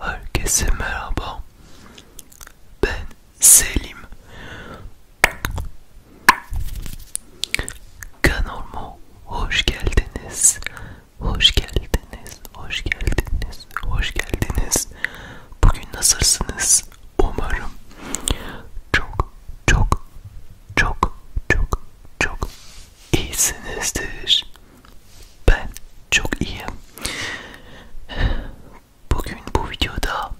Herkese merhaba. Ben Selim. Kanalıma hoş geldiniz. Hoş geldiniz geldiniz, hoş geldiniz, hoş geldiniz. Bugün nasılsınız? Umarım çok çok çok çok çok iyisinizdir. Ben çok iyiyim. Bugün bu videoda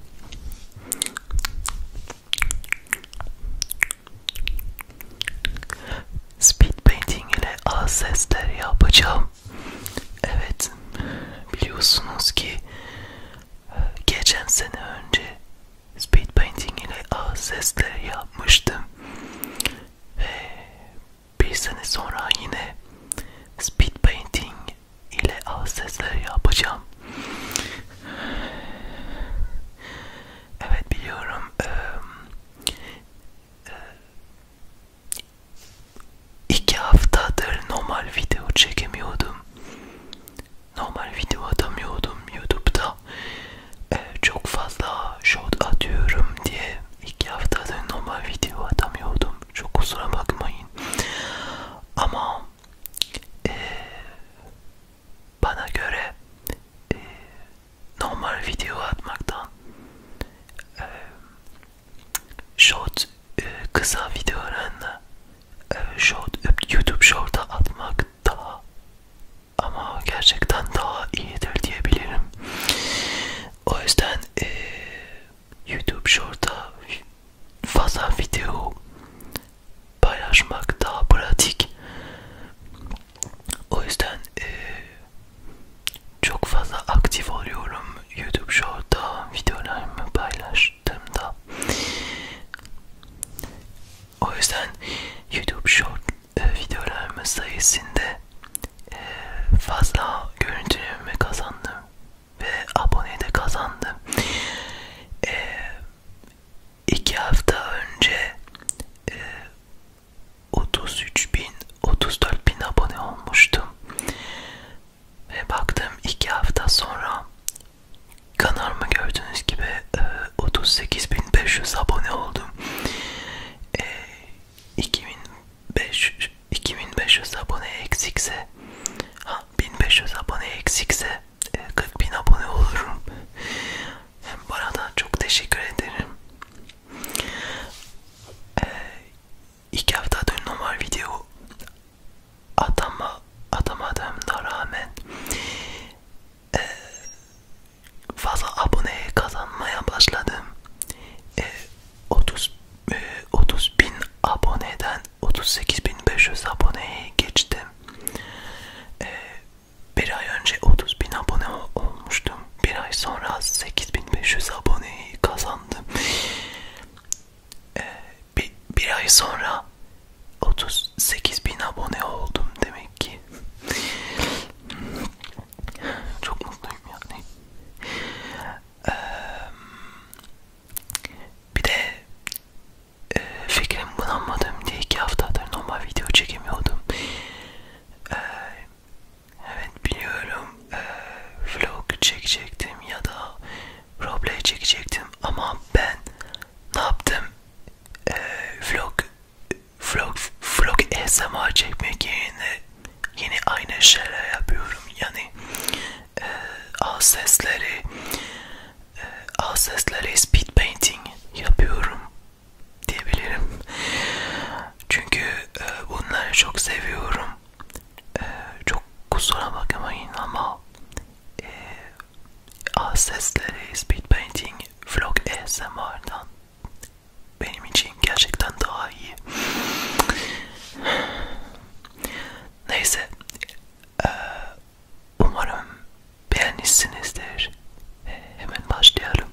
speed painting ile az sesler e yapacağım. Evet, biliyorsunuz ki e, geçen sene önce speed painting ile ağız sesleri yapmıştım ve bir sene sonra yine speed painting ile ağız sesleri yapacağım. Evet biliyorum e, e, İki haftadır normal video çekemiyordum. Normal video atamıyordum YouTube'da. Ee, çok fazla short atıyorum diye iki haftadır normal video atamıyordum. Çok kusura bakmayın. Ama e, bana göre e, normal video atmaktan e, short e, kısa videolarını e, short e, YouTube short'a atmak daha ama gerçekten daha iyidir diyebilirim. O yüzden e, YouTube short'a fazla video paylaşmak daha pratik. O yüzden e, çok fazla aktif oluyorum YouTube Short'ta videolarımı paylaştığımda. O yüzden YouTube Short e, videolarımın sayesinde e, fazla görüntülerimi kazandım ve abone de kazandım. E, iki hafta önce e, 33 bin, 34 bin abone olmuştum. Ve baktım iki hafta sonra kanalıma gördüğünüz gibi 38.500 e, abone oldum. E, 2500, 2500 abone eksikse ha, 1500 abone eksikse 40.000 e, abone olurum. Bu arada çok teşekkür ederim. E, iki haftadır normal video atama atamadığımda rağmen e, fazla abone kazanmaya başladım. E, 30 e, 30 bin aboneden 38.500 aboneye geçtim. E, bir ay önce 30 bin abone olmuştum. Bir ay sonra 8500 aboneyi kazandım e, bir, bir ay sonra 38 bin abone oldum demek ki. Çok mutluyum yani. Ee, bir de e, fikrim bulanmadım diye iki haftadır normal video çekemiyordum. Ee, evet biliyorum e, vlog çekecektim ya da roleplay çekecektim ama ben ne yaptım e, vlog vlog vlog ASMR çekmek yerine yine aynı şeyler yapıyorum yani e, al sesleri e, al sesleri speed painting yapıyorum diyebilirim çünkü e, bunları çok seviyorum e, çok kusura bakmayın ama e, A sesleri speed painting vlog ASMR'dan benim için gerçekten daha iyi. Neyse, e, umarım beğenmişsinizdir. E, hemen başlayalım.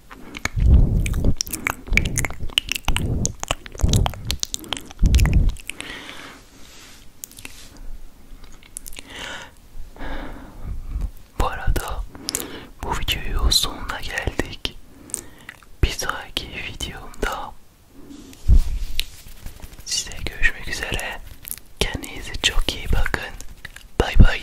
Bu arada bu videoyu sonuna geldik. Bir sonraki videomda size görüşmek üzere. Kendinize çok iyi bakın. Bay bay.